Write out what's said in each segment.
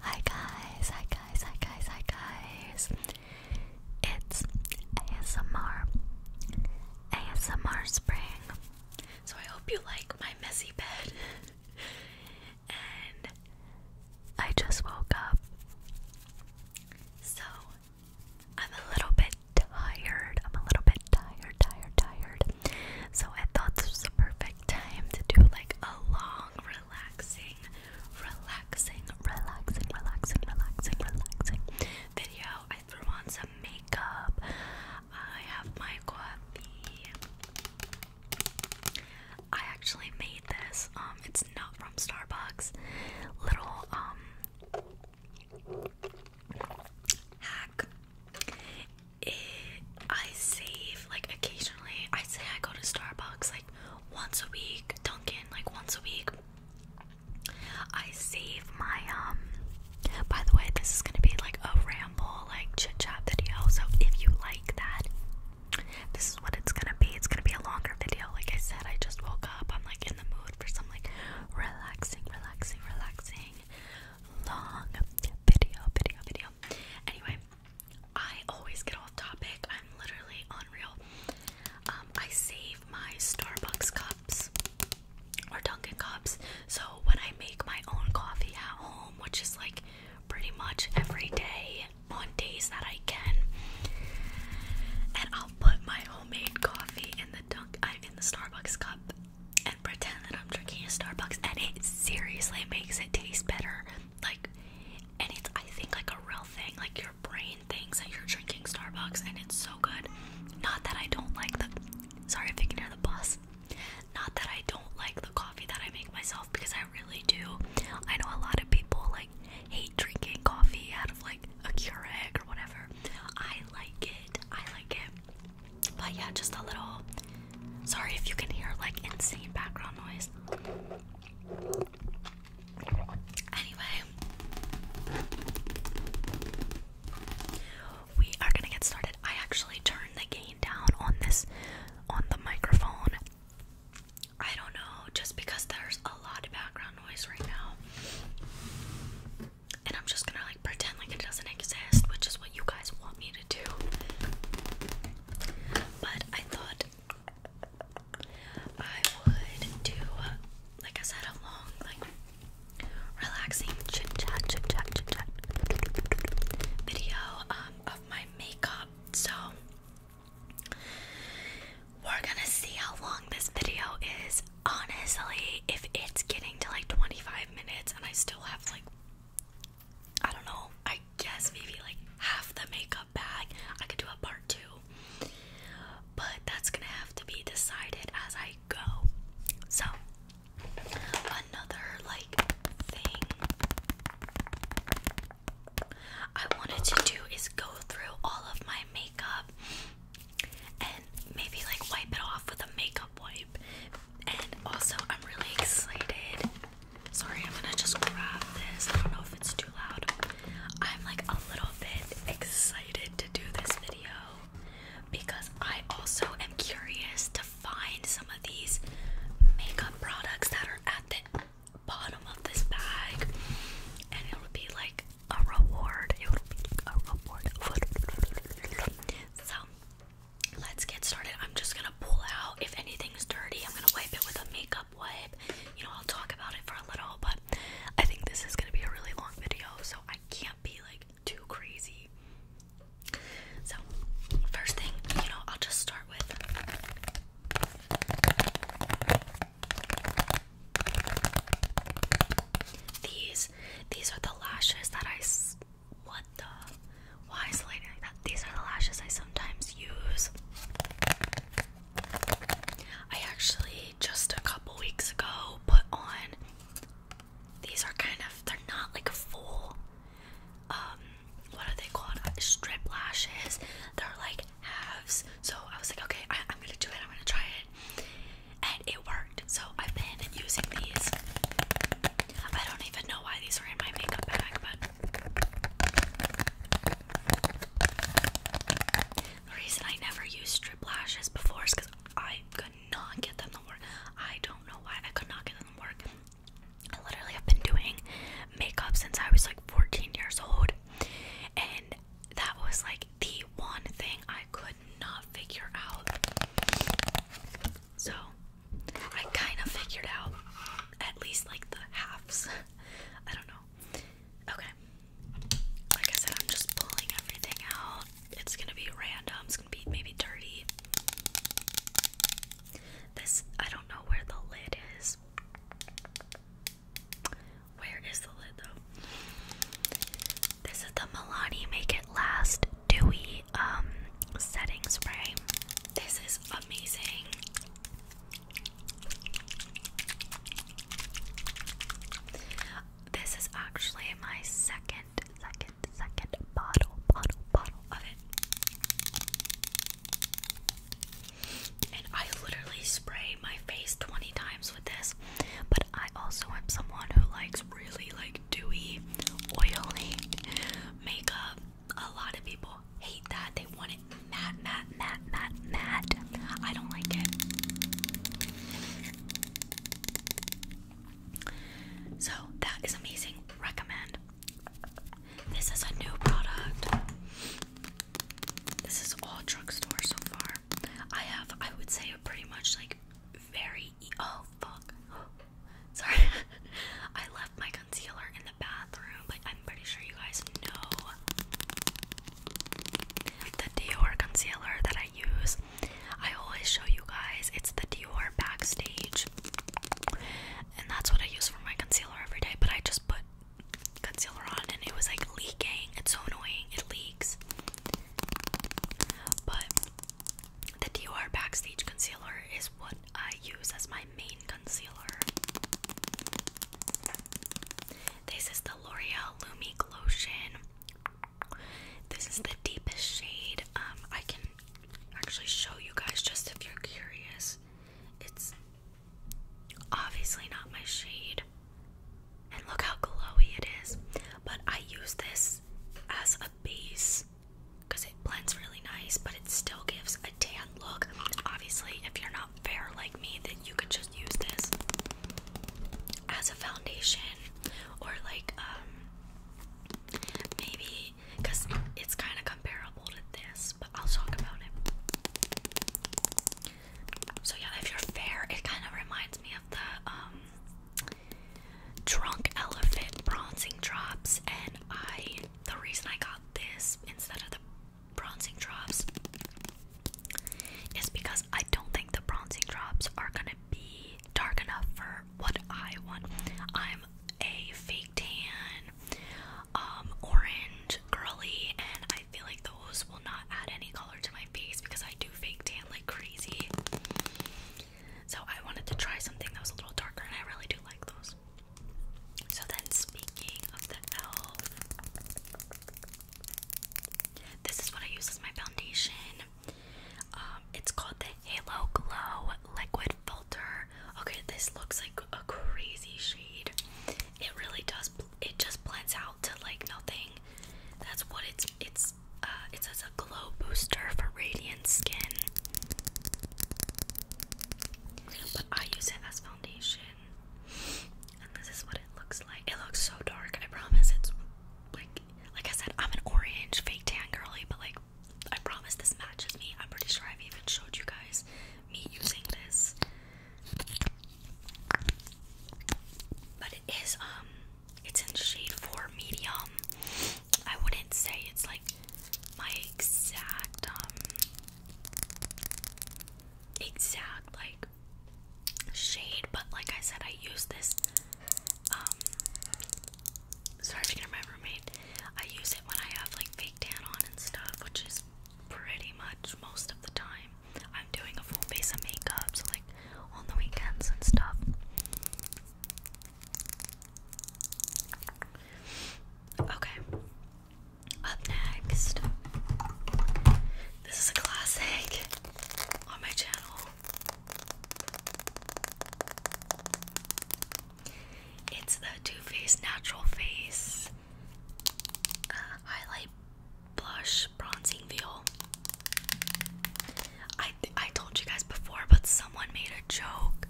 Hi guys, hi guys, hi guys, hi guys. It's ASMR. ASMR Spring. So I hope you like my messy bed. and I just woke up. So I'm a little bit tired. I'm a little bit tired, tired, tired. So I thought this was perfect time to do like a long, relaxing, relaxing, relaxing, relaxing, relaxing, relaxing video. I threw on some makeup. I have my coffee. I actually made this. Um, it's not from Starbucks. Little um hack Eh, I save like occasionally. I say I go to Starbucks like once a week, Dunkin' like once a week. I save my um. By the way, this is gonna be like a ramble, like chit chat video. So if you like that, this is what it's gonna be. It's gonna be a longer video. Like I said, I just woke up. I'm like in the mood for some like relaxing, relaxing, relaxing long video, video, video. Anyway, I always get off topic. I'm literally unreal. Um, I save my Starbucks cups or Dunkin' cups. So when I make my own coffee at home, which is like pretty much every day on days that I can, and I'll put my homemade coffee in the dunk uh, in the Starbucks cup and pretend that I'm drinking a Starbucks, and it seriously makes it taste better. Like, and it's I think like a real thing. Like your brain thinks that you're drinking Starbucks, and it's so good. Not that I don't like the. Sorry if you can hear the bus. Not that I don't like the coffee that I make myself because I really do. I know a lot of people like hate drinking coffee out of like a Keurig or whatever. I like it. I like it. But yeah, just a little. Sorry if you can hear like insane background noise. Anyway, we are gonna get started. I actually turned the gain down on this on the microphone. I don't know, just because there's a lot of background noise right now. And I'm just gonna like pretend like it doesn't exist, which is is what you guys want me to do. But I thought I would do, like I said, a long, like, relaxing chit chat, chit chat, chit chat video um, of my makeup. So we're gonna see how long this video is. Honestly, if it's getting to like 25 minutes and I still have like I don't know, I guess maybe like half the makeup bag. I could do a part two, but that's gonna have to be decided as I go. So, another like thing I wanted to do is go through all of my makeup and maybe like wipe it off with a makeup wipe and also, I'm really excited. Sorry, I'm gonna just grab this. I don't know if it's too loud. I'm like a little bit excited to do this video because I also am curious to find some of these makeup products that are at the bottom of this bag, and it would be like a reward. It would be a reward. So let's get started. I'm just gonna pull out if anything's dirty, I'm gonna wipe it with a makeup wipe. You know, I'll talk about it for a little, but I think this is gonna be a really long video, so I can't be like too crazy. So, first thing, you know, I'll just start with. These these are the lashes that I what the? Why is the lighting like that? These are the lashes I sometimes use. I actually just a couple weeks ago put on. These are kind of. They're not like a full. Um, what are they called? Strip lashes. They're like halves. So I was like, okay, I, I'm gonna do it. I'm gonna try it, and it worked. So I've been using these. I don't even know why these were in my makeup bag, but the reason I never used strip lashes before is because I could not get them to work. I don't know why I could not get them to work. I literally have been doing makeup since I was like 14 years old, and that was like the one thing I could not figure out. So I kind of figured out at least like the halves. I don't know. Okay. Like I said, I'm just pulling everything out. It's gonna be random. It's gonna be maybe dirty. This, I don't know where the lid is. Where is the lid though? This is the Milani Make It Last Dewy um setting spray. This is amazing. This is actually my second, second, second bottle, bottle, bottle of it. And I literally spray my face 20 times with this, but I also am someone who likes really like dewy, oily makeup a lot of people hate that. They want it matte, matte, matte, matte, matte. I don't like it. So that is amazing. Recommend. This is a new product. This is all drugstore so far. I have, I would say, a pretty much like very. E oh fuck! Sorry, I left my concealer in the bathroom. Like, I'm pretty sure you guys know the Dior concealer that I use. I always show you guys, it's the Dior Backstage. And that's what I use for my concealer every day, but I just put concealer on and it was like leaking. It's so annoying, it leaks. But the Dior Backstage concealer is what I use as my main concealer. This is the L'Oreal Lumique Lotion. This is the deepest shade. Um, I can actually show you guys just if you're curious. It's obviously not my shade. And look how glowy it is. But I use this as a base because it blends really nice, but it still gives a tan look. Obviously, if you're not fair like me, then you could just use this as a foundation or like um maybe because it's kind of comparable to this, but I'll talk about it. So yeah, if you're fair, it kind of reminds me of the um drunk elephant bronzing drops and I the reason I got this instead of the bronzing drops is because I don't think the bronzing drops are gonna be dark enough for what I want. I'm a fake tan, um, orange, girly, and I feel like those will not add any color to my face because I do fake tan like crazy. So I wanted to try something that was a little darker, and I really do like those. So then speaking of the e.l.f. This is what I use as my foundation. Um, it's called the Halo Glow Liquid Filter. Okay, this looks like a crazy shade. It really does. It just blends out to like nothing. That's what it's. It's. Uh, it says a glow booster for radiant skin but I use it as foundation. And this is what it looks like. It looks so dark. I promise it's like like I said, I'm an orange fake tan girly, but like I promise this matches me. I'm pretty sure I've even showed you guys me using this. But it is um it's in shade 4 medium. I wouldn't say it's like my exact um exact like shade, but like I said, I use this. Um, sorry if you can my roommate. I use it when I have like fake tan on and stuff, which is pretty much most of the time. I'm doing a full face of makeup, so like on the weekends and stuff. Okay, up next, this is a classic on my channel. It's the Too Faced Natural Face uh, Highlight Blush Bronzing Veil. I I told you guys before, but someone made a joke.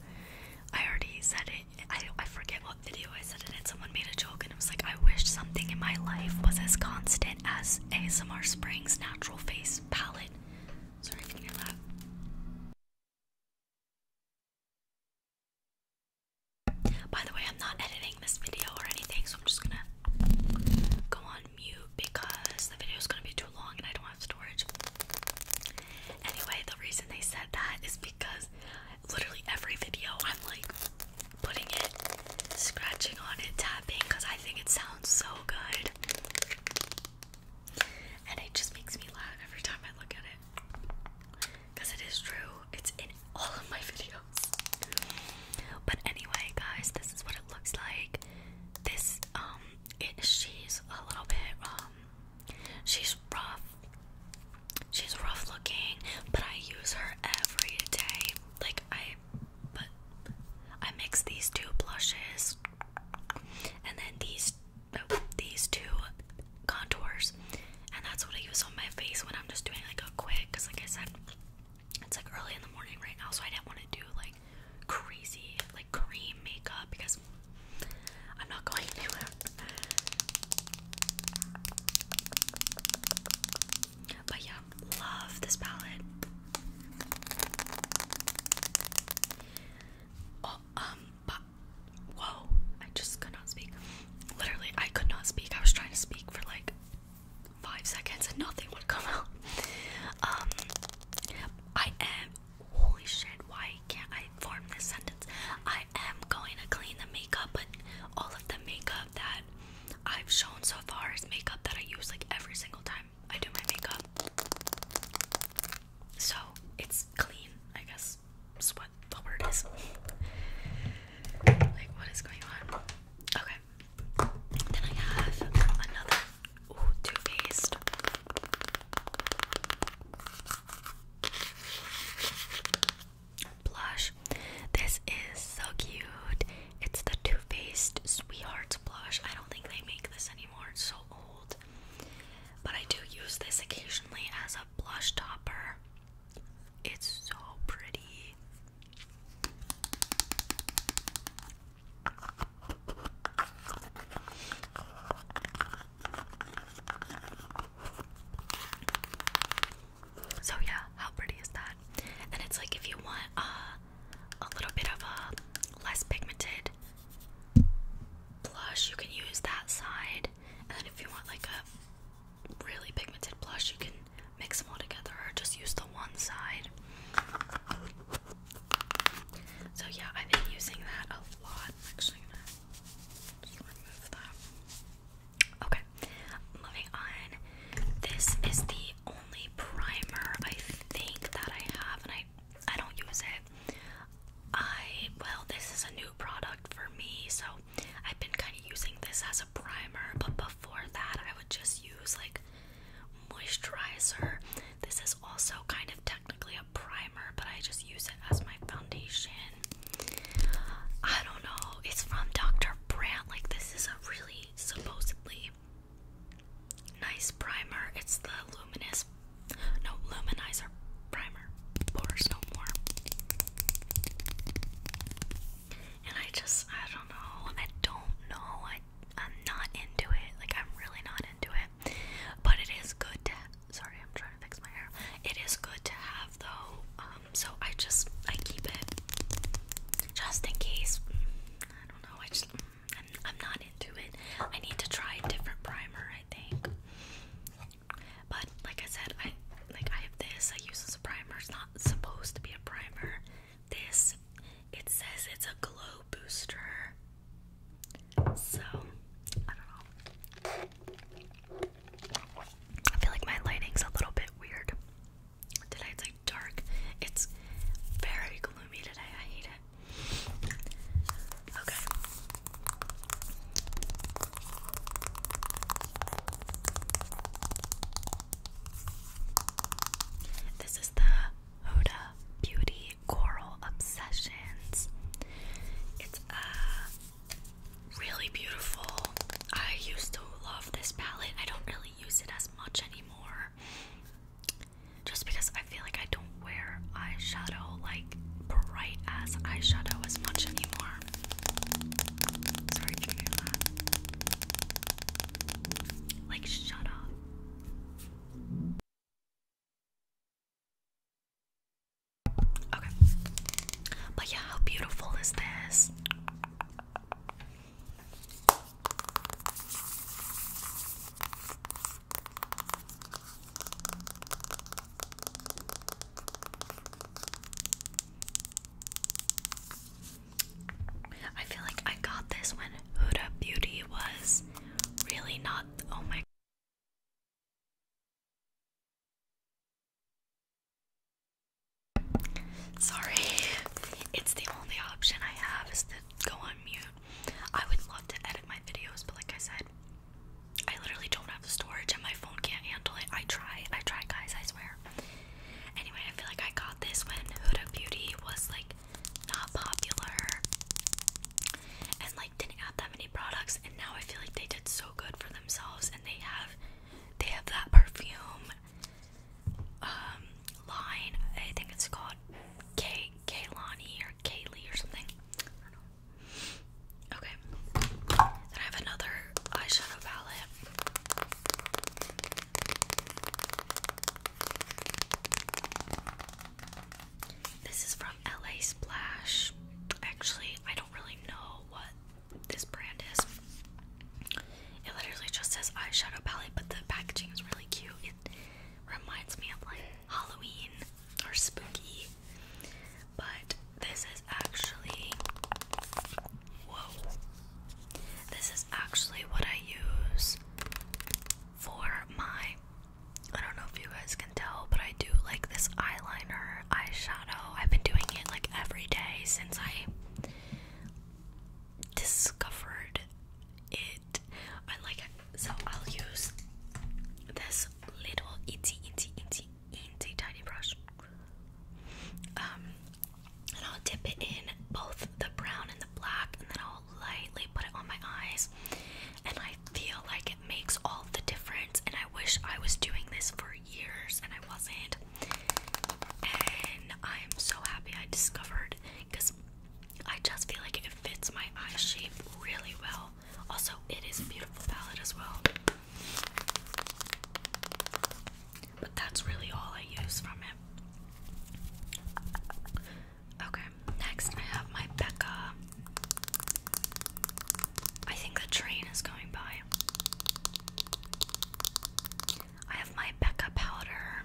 I already said it I, I forget what video I said it in. Someone made a joke and it was like, I wish something in my life was as constant as ASMR Springs Natural Face Palette. Sorry if you can hear that. By the way, I'm not editing this video or anything, so I'm just gonna go on mute because the video is gonna be too long and I don't have storage. Anyway, the reason they said that is because literally every video I'm like putting it, scratching on it, tapping because I think it sounds so good. And it just makes me laugh every time I look at it. Because it is true, it's in all of my videos. But anyway, guys, this is what it looks like. This, um, it she's a little bit, um, She's rough. She's rough looking, but I use her every day. Like I but I mix these two blushes and then these these two contours. And that's what I use on my face when I'm just doing like a quick cuz like I said it's like early in the morning right now, so I didn't want to do like crazy like cream makeup because I'm not going anywhere. But yeah, love this palette. Oh, um, but whoa, I just could not speak. Literally, I could not speak. I was trying to speak for like five seconds and nothing would come out. Um, I am. Holy shit, why can't I form this sentence. I am going to clean the makeup, but all of the makeup that I've shown so far is makeup that I use like every single time I do my makeup. So it's clean, I guess. Is what the word is. like what is going on? Okay. Then I have another ooh, blush. This is so cute. It's the Too Faced Sweethearts blush. I don't think they make this anymore. It's so old. But I do use this occasionally as a blush topper. It's so pretty. So yeah, how pretty is that? And it's like if you want uh, a little bit of a less pigmented blush, you can use that side. And then if you want like a really pigmented blush, you can mix them all together or just use the one side. So yeah, I've been using that a lot. I'm actually gonna just remove that. Okay, moving on. This is the only primer I think that I have, and I I don't use it. I well, this is a new product for me, so I've been kind of using this as a primer. But before that, I would just use like moisturizer. This is also kind of technically a primer, but I just use it as my foundation. I don't know. It's from Dr. Brandt. Like, this is a really supposedly nice primer. It's the Luminous, no, Luminizer Primer. Pores no more. And I just, I don't know. I don't know. I, I'm not into it. Like, I'm really not into it. But it is good Sorry, I'm trying to fix my hair. It is good to have though, um, so I just I keep it just in case. I don't know. I just I'm, not into it. I need to try a different primer. I think. But like I said, I like I have this. I use this primer. It's not supposed to be a primer. This it says it's a glow booster. So I don't know. I feel like my lighting's a little bit weird. Today it's like dark. It's very gloomy today. I hate it. Okay. This is the Huda Beauty Coral Obsessions. It's a uh, really beautiful. I used to love this palette. I don't really use it as much anymore. Just because I feel like I don't wear eyeshadow like bright as eyeshadow as much anymore. Sorry, you hear that? Like, shut up. But yeah, how beautiful is this? I feel like I got this when Huda Beauty was really not. Oh my Sorry, it's the only option I have is to go on mute. I would love to edit my videos, but like I said, I literally don't have the storage and my phone can't handle it. I try, I try, guys, I swear. Anyway, I feel like I got this when Huda Beauty was like not popular and like didn't have that many products, and now I feel like they did so good for themselves and they have they have that perfume um, line. I think it's called K Kaylani or Kaylee or something. Okay. I have another eyeshadow palette. This is from LA Splash. Actually, I don't really know what this brand is. It literally just says eyeshadow palette, but the packaging is really cute. It reminds me of like Halloween or spooky. But this is actually whoa. This is actually what I use for my I don't know if you guys can tell, but I do like this eyeliner eyeshadow Oh, I've been doing it like every day since I discovered it. I like so I'll use this little itty itty itty itty tiny brush. Um, and I'll dip it in both the brown and the black and then I'll lightly put it on my eyes and I feel like it makes all the difference and I wish I was doing this for years and I wasn't. And I'm so happy I discovered because I just feel like it fits my eye shape really well. Also, it is a beautiful palette as well. But that's really all I use from it. Okay, next I have my Becca. I think the train is going by. I have my Becca powder.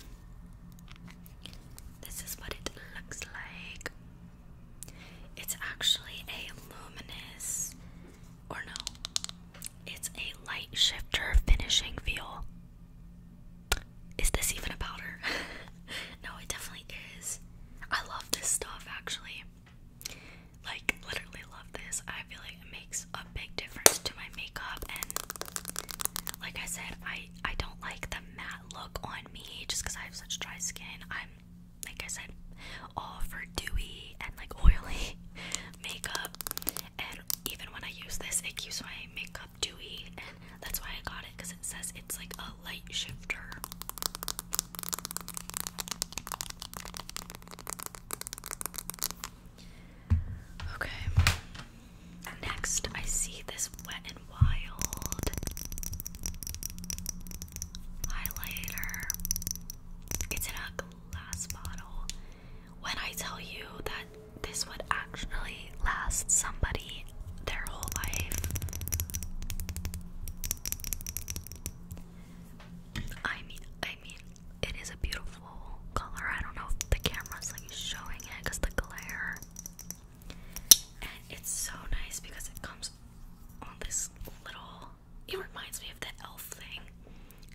This is what it looks like. It's actually a luminous, or no, it's a light shifter finishing feel. Is this even a powder? no, it definitely is. I love this stuff actually like literally love this. I feel like it makes a big difference to my makeup and like I said, I I don't like the matte look on me just cuz I have such dry skin. I'm like I said all for dewy and like oily makeup. And even when I use this, it keeps my makeup dewy and that's why I got it cuz it says it's like a light shifter. Okay. Next, I see this Wet and Wild highlighter. It's in a glass bottle. When I tell you that this would actually last somebody their whole life, I mean, I mean, it is a beautiful color. I don't know if the camera's like showing it because the glare. And it's so nice because it comes on this little. It reminds me of the elf thing.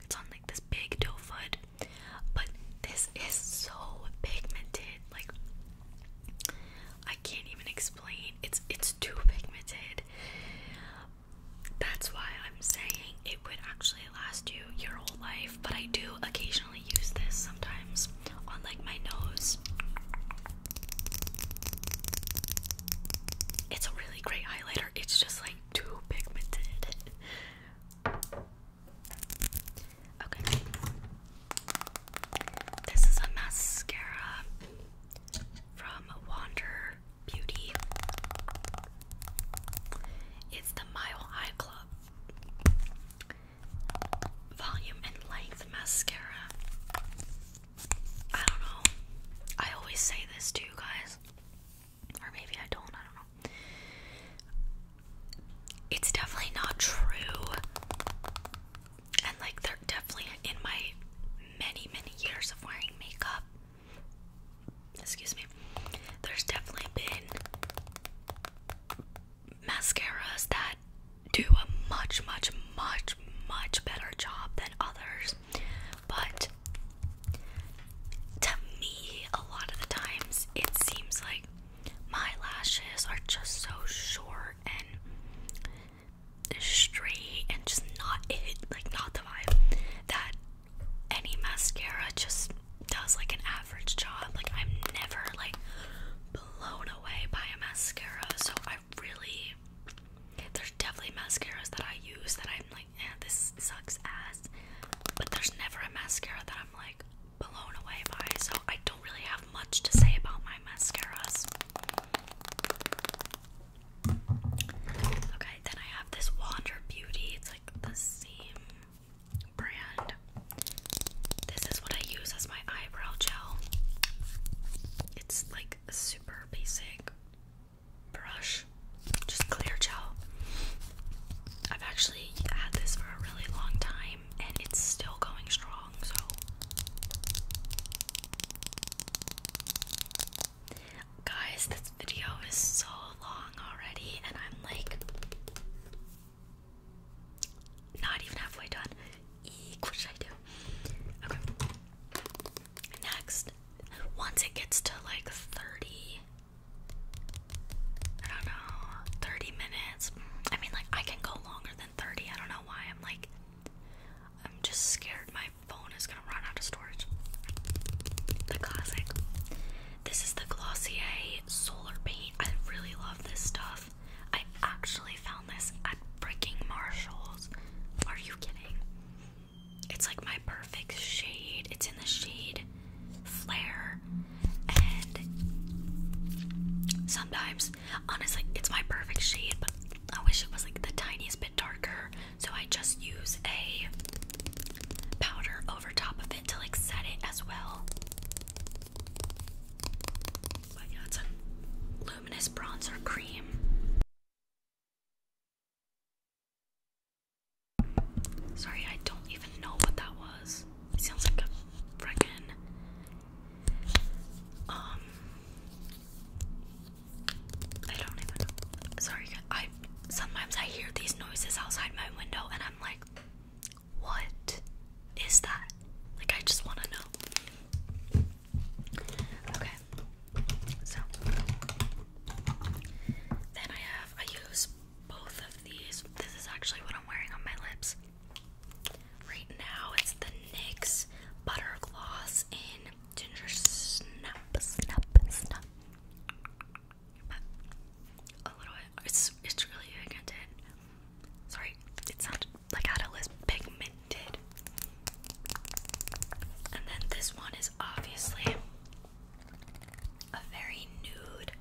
It's on like this big doe foot, but this is so pigmented. Like I can't even explain. It's it's too pigmented. That's why I'm saying it would actually last you your whole life, but I do occasionally use this sometimes on like my nose. It's a really great highlighter. It's just like too pigmented. Okay. This is a mascara from Wander beauty. It's the Mile High Club Volume and Length Mascara. I don't know. I always say this to you guys. Or maybe I don't, I don't know. It's definitely not true. And like they're definitely in my many, many years of wearing makeup excuse me, there's definitely been mascaras that do a much, much, much, much better job than others. But to me, a lot of the times, it seems like my lashes are just so short and straight and just not it, like not the vibe that any mascara just does like an average job. Like I'm never like blown away by a mascara. So I really there's definitely mascaras that I use that I'm like, eh, this sucks ass. But there's never a mascara that I'm like blown away by. So I don't really have much to say about my mascaras. Okay, then I have this Wander Beauty. It's like the same brand. This is what I use as my eyebrow gel. It's like a super basic brush, just clear gel. I've actually had this for a really long time and it's still going strong, so Guys, this video is so long already, and I'm like not even halfway done. what should I do? Okay. Next, once it gets to like 30, I don't know, 30 minutes. I mean, like, I can go longer than 30. I don't know why. I'm like, I'm just scared my phone is gonna run out of storage. The classic. This is the Glossier Solar Paint. I really love this stuff. I actually found this at freaking Marshalls. Are you kidding? It's like my perfect shade. It's in the shade Flare. And sometimes, honestly, it's my perfect shade, but I wish it was like the tiniest bit darker, so I just use a powder over top of it to like set it as well. But a luminous bronzer cream. Sorry, I don't even know what that was. sounds like a freaking um I don't even Sorry, I sometimes I hear these noises outside my window and I'm like, what is that? Like I just wanna know. Okay. So then I have I use both of these. This is actually what I'm wearing on my lips. Right now it's the NYX Butter Gloss in Ginger Snap Snap Snap but a little It's it's really pigmented. Sorry, it sounded like I had pigmented. And then this one is obviously a very nude,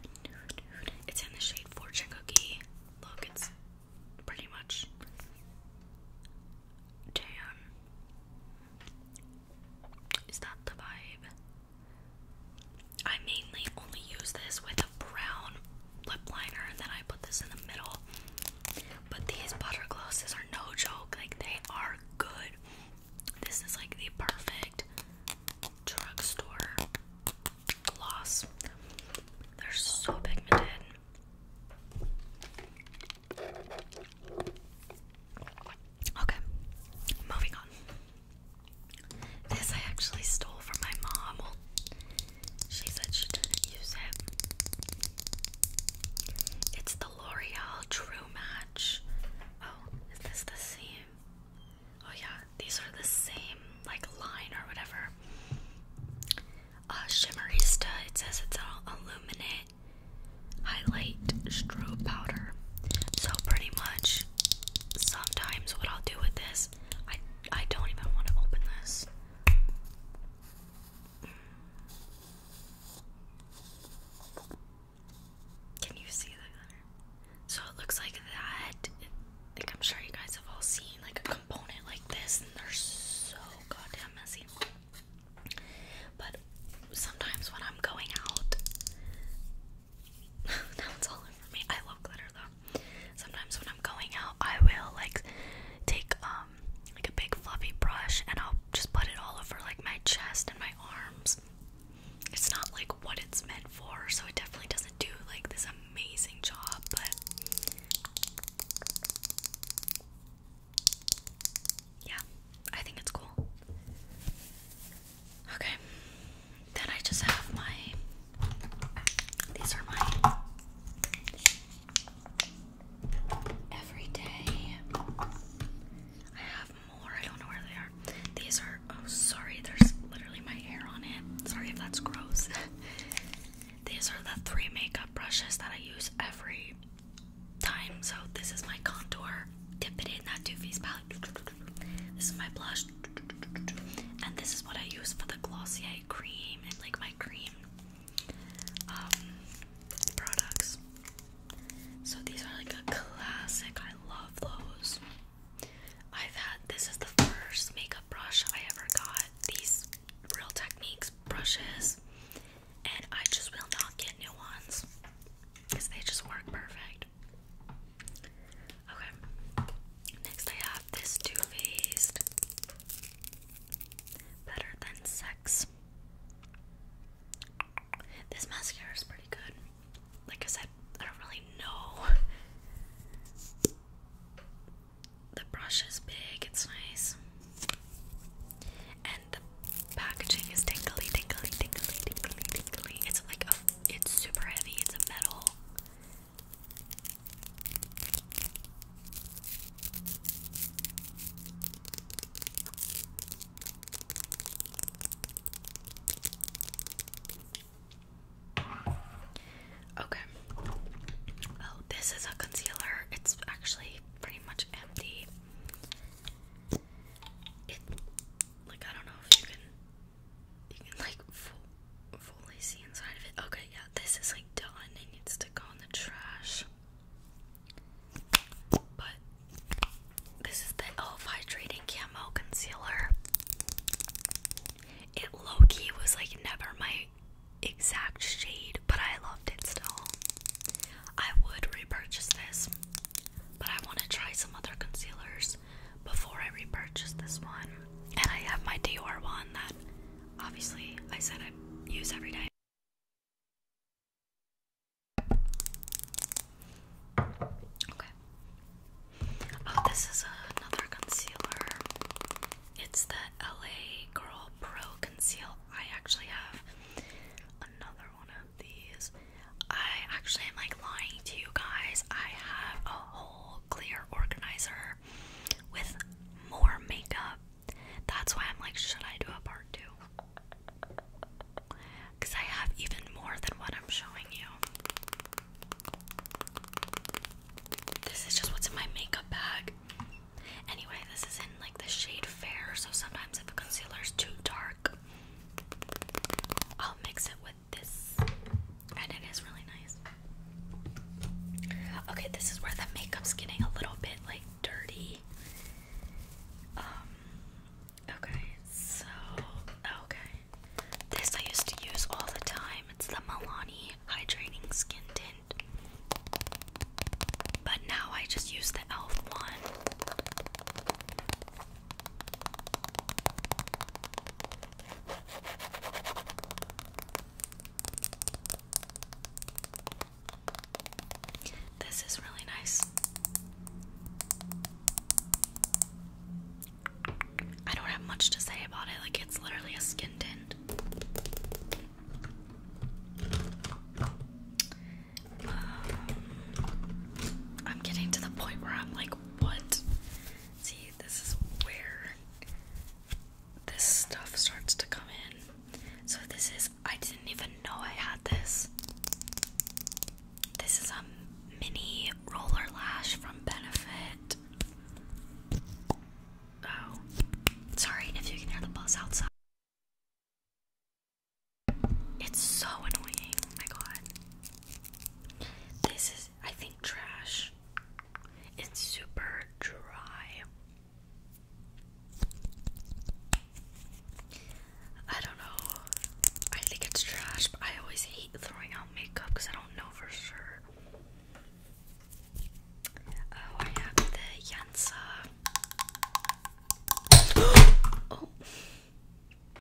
It's in the shade Fortune Cookie. Look, it's pretty much tan. Is that the vibe? I mainly only use this with a brown lip liner and then I put this in the middle. But these butter glosses are no joke, like they are good. This is like the perfect drugstore gloss. They're so pigmented. Okay, moving on. This I actually stole from my mom. she said she didn't use it. It's the L'Oreal True Match. Oh, is this the same? Oh, yeah, these are the same, like line or whatever. Uh, Shimmerista, it says it's all illuminated highlight strobe powder. So pretty much sometimes what I'll do with this, I I don't even want to open this. Can you see the So it looks like that. like I'm sure you guys have all seen like a component like this and they're so goddamn messy. But sometimes when I'm going out, now it's all over me. I love glitter though. Sometimes when I'm going out, I will like take um, like a big fluffy brush and I'll just put it all over like my chest and my arms. It's not like what it's meant for, so it definitely doesn't do like this amazing job, but yeah, I think it's cool. Okay, then I just have my. These are my everyday. I have more. I don't know where they are. These are. Oh, sorry. There's literally my hair on it. Sorry if that's gross. These are the three makeup brushes that I use every time. So this is my contour dip it in that Too Faced palette. This is my blush, and this is what I use for the Glossier cream and like my cream um, products. So these are like a classic. I love those. I've had this is the first makeup brush I ever got. These Real Techniques brushes, and I just will not get new ones because they just work perfect. Okay. Next, I have this Too Faced Better Than Sex. This mascara is pretty good. Like I said, I don't really know. The brush is big, it's nice. And the packaging is tingly, tingly, tingly, tingly, tingly. It's like a, it's super heavy. It's a metal. Okay. Oh, this is a concealer. It's actually pretty much empty like I don't know if you can you can like fully see inside of it. Okay, yeah, this is like done. It needs to go in the trash. But this is the Elf Hydrating Camo Concealer. It low key was like never my exact shade, but I loved it still. I would repurchase this. But I want to try some other concealers before I repurchase this one. And I have my Dior one that obviously I said I use every day. Okay. Oh, this is another concealer. It's the LA Girl Pro Conceal. I actually have another one of these. I actually am like lying to you guys. I have a whole clear organizer with more makeup. That's why I'm like, should I do a part two? Because I have even more than what I'm showing you. This is just what's in my makeup bag. Anyway, this is in like the shade Fair, so sometimes if a concealer is too dark, I'll mix it with this, and it is really nice. Okay, this is where the makeup's getting a little bit like dirty. Um, okay, so okay, this I used to use all the time. It's the Milani Hydrating Skin Tint, but now I just use the e.l.f. one. This is really nice. I don't have much to say about it, like, it's literally a skin tint. Um, I'm getting to the point where I'm like, what? See, this is where this stuff starts to come in. So this is I didn't even know I had this. This is a mini roller lash from Benefit. Oh. Sorry if you can hear the buzz outside. It's so annoying. Oh my god. This is, I think, trash. It's super dry. I don't know. I think it's trash, but I always hate throwing out makeup because I don't know for sure. Oh, I have the Yansa. Oh.